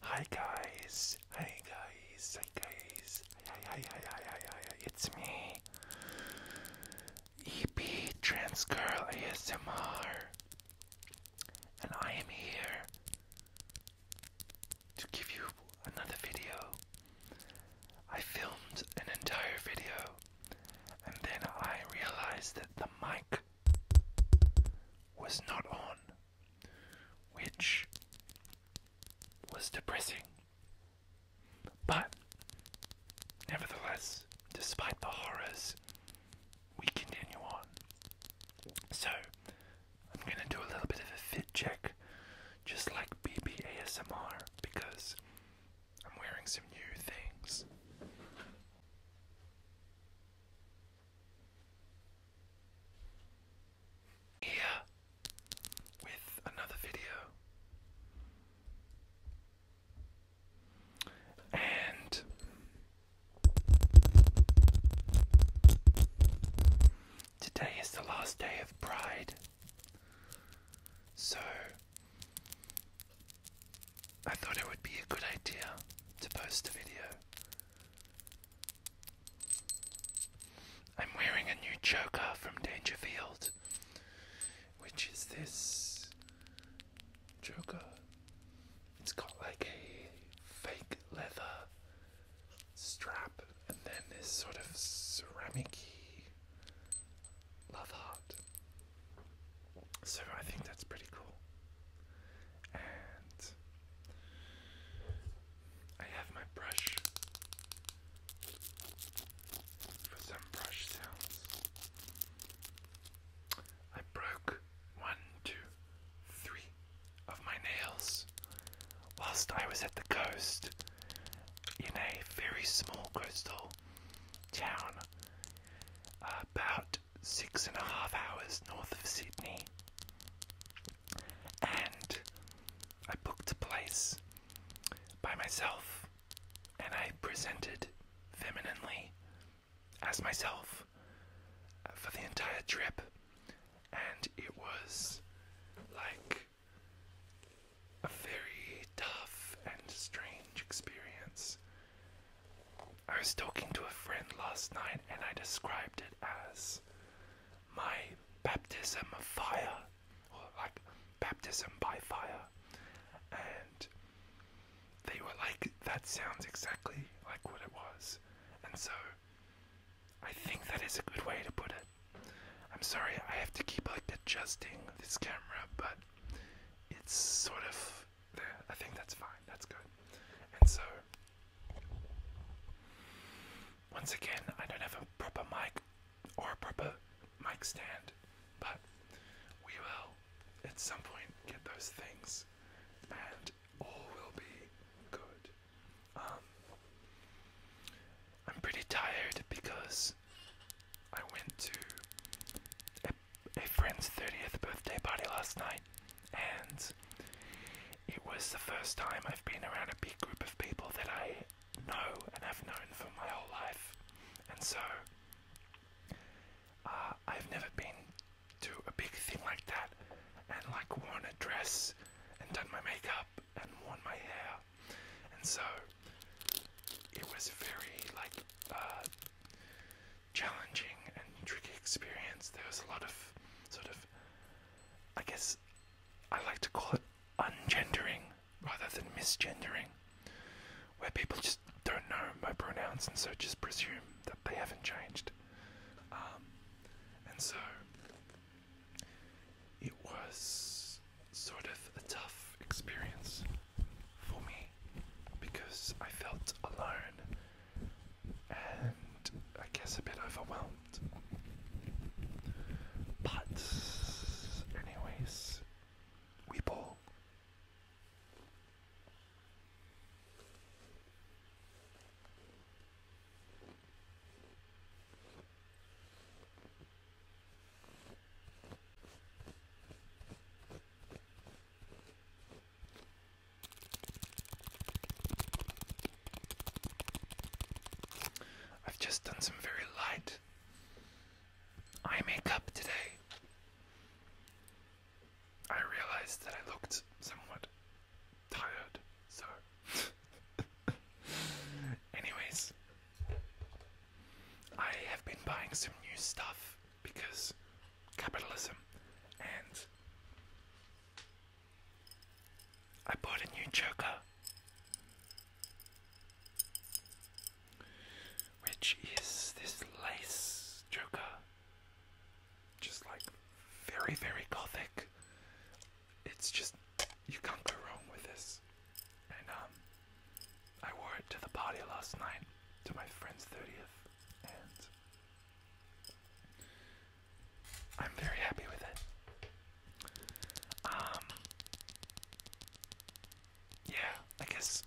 Hi guys, hi guys, hi guys, hi hi hi hi hi it's me, EP Transgirl ASMR, and I am here to give you another video. I filmed an entire video, and then I realized that the mic was not on, which was depressing. But, nevertheless, despite the horrors, we continue on. So, I'm gonna do a little bit of a fit check, just like BB ASMR, because I'm wearing some new things. Here with another video. And today is the last day of Pride. So I thought it would be a good idea to post a video. I'm wearing a new choker from Dangerfield, which is this choker. It's got like a fake leather strap and then this sort of ceramic love heart. So I think that's pretty cool. And I have my brush for some brush sounds. I broke one, two, three of my nails whilst I was at the coast in a very small coastal town uh, about six and a half hours north of Sydney, and I booked a place by myself and I presented femininely as myself uh, for the entire trip, and it was like a very tough and strange experience. I was talking to a friend last night and I described it as my baptism of fire, or like baptism by fire. And they were like, that sounds exactly like what it was. And so I think that is a good way to put it. I'm sorry, I have to keep like adjusting this camera, but it's sort of I think that's fine. That's good. And so, once again, I don't have a proper mic or a proper mic stand, but we will at some point get those things, and all will be good. Um, I'm pretty tired because I went to a friend's 30th birthday party last night, and it was the first time I've been around a big group of people that I know and have known for my whole life. And so, uh, I've never been to a big thing like that and like worn a dress and done my makeup and worn my hair. And so, it was very like, uh, challenging and tricky experience. There was a lot of sort of, I guess, I like to call it ungendering rather than misgendering, where people just don't know my pronouns and so just presume that they haven't changed. Um, and so it was sort of a tough experience for me because I felt alone and I guess a bit overwhelmed. But, anyways, we ball. I've just done some very light eye makeup today. I realized that I looked somewhat tired, so. Anyways, I have been buying some new stuff because capitalism and I bought a new joker which is this lace joker just like very very gothic it's just you can't go wrong with this and um I wore it to the party last night to my friend's 30th and I'm very happy with it. Um, yeah, I guess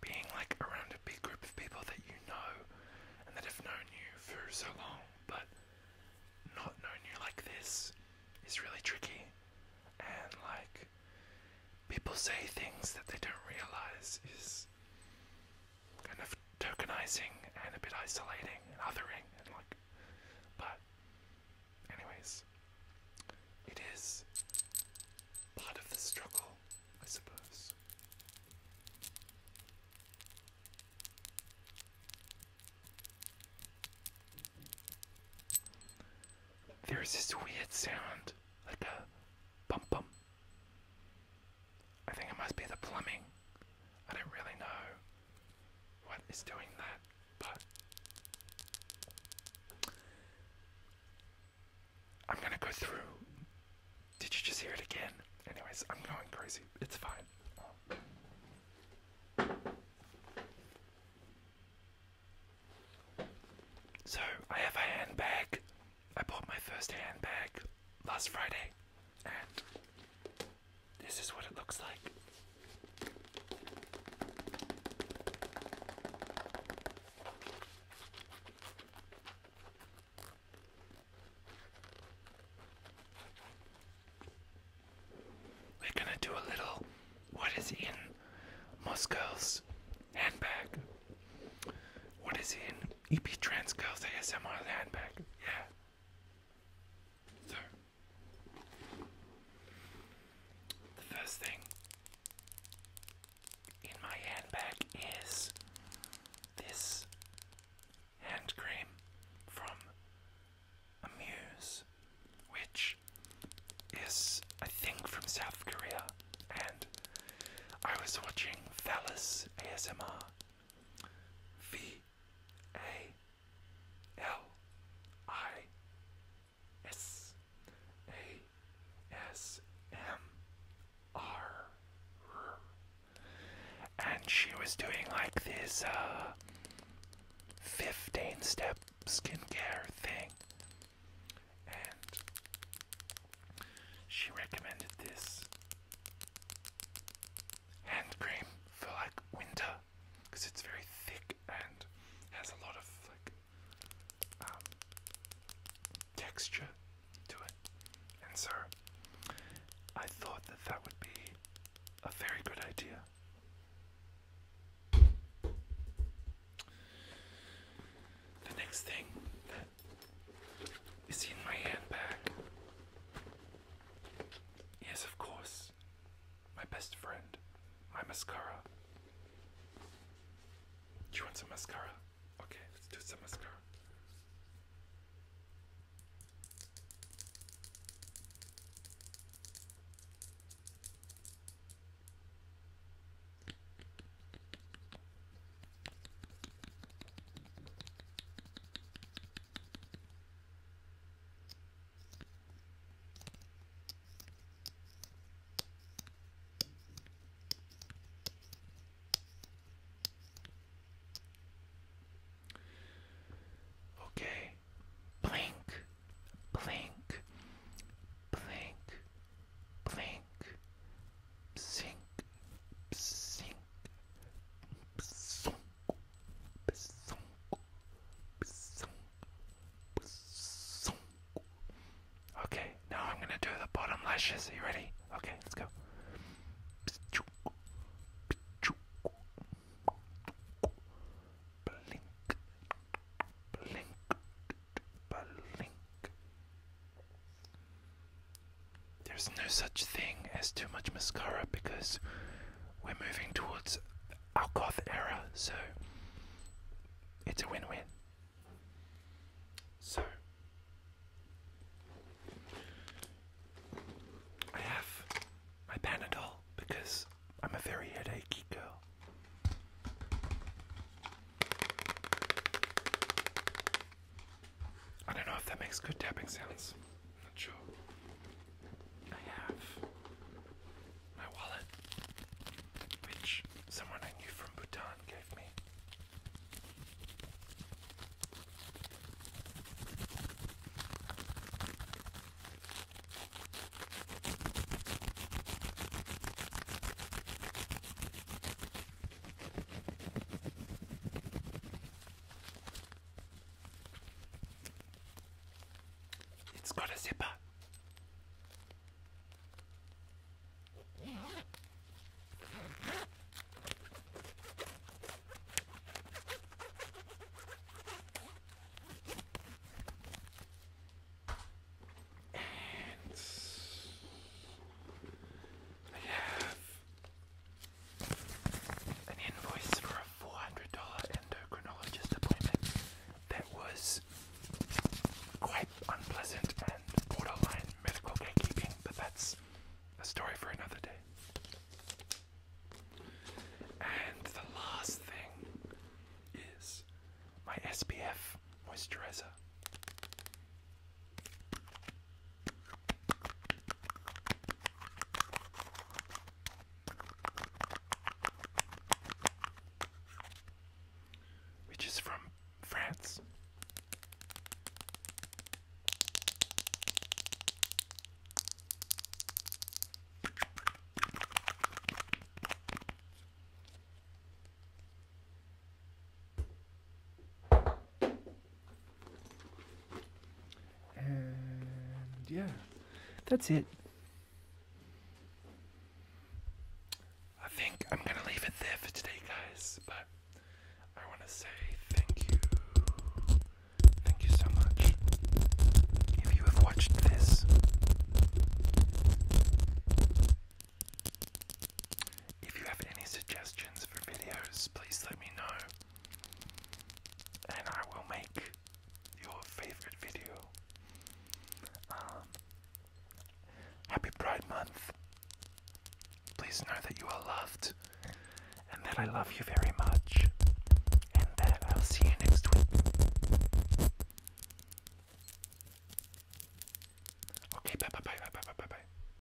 being like around a big group of people that you know and that have known you for so long, but not known you like this is really tricky. And like, people say things that they don't realize is kind of tokenizing and a bit isolating and othering and like but anyways it is part of the struggle I suppose there is this weird sound like a bum bum I think it must be the plumbing. I don't really know what is doing that, but I'm gonna go through. Did you just hear it again? Anyways, I'm going crazy. It's fine. So, I have a handbag I bought my first handbag last Friday, and this is what it looks like. We're gonna do a little what is in Moscow's handbag. What is in EP Trans Girls ASMR handbag? Yeah. So, the first thing in my handbag is this hand cream from Amuse, which is, I think, from South Korea, and I was watching Phallus ASMR. V A L I S A S M R. And she was doing like this uh, 15 step skincare thing. She recommended this hand cream for like winter it's very thick and has a lot of like um, texture to it. And so I thought that that would be a very good idea the next thing that is in my handbag Yes, of course, my best friend, my mascara. Do you want some mascara? Okay, let's do some mascara. Okay. Blink, blink, blink, blink, sink, sink, sunk, sunk, sunk, sunk. Okay, now I'm gonna do the bottom lashes. Are you ready? Okay, let's go. Blink, blink, blink, blink, there's no such thing as too much mascara because we're moving towards Algoth era, so it's a win-win. So I have my Panadol because I'm a very headachy girl. I don't know if that makes good tapping sounds. I'm not sure. I have my wallet, which someone I knew from Bhutan gave me. It's got a zipper. And an invoice for a $400 endocrinologist appointment that was quite unpleasant and borderline medical gatekeeping, but that's a story for another day. And the last thing is my SPF moisturizer. Which is from France. And yeah, that's it. I think I'm gonna leave it there for today, guys. But I want to say thank you. Thank you so much. If you have watched this, if you have any suggestions for videos, please let me know, and I will make your favorite video. Um, happy Pride Month. Please know that you are loved, and that I love you very much, and that I'll see you next week. Okay, bye bye bye bye bye bye bye.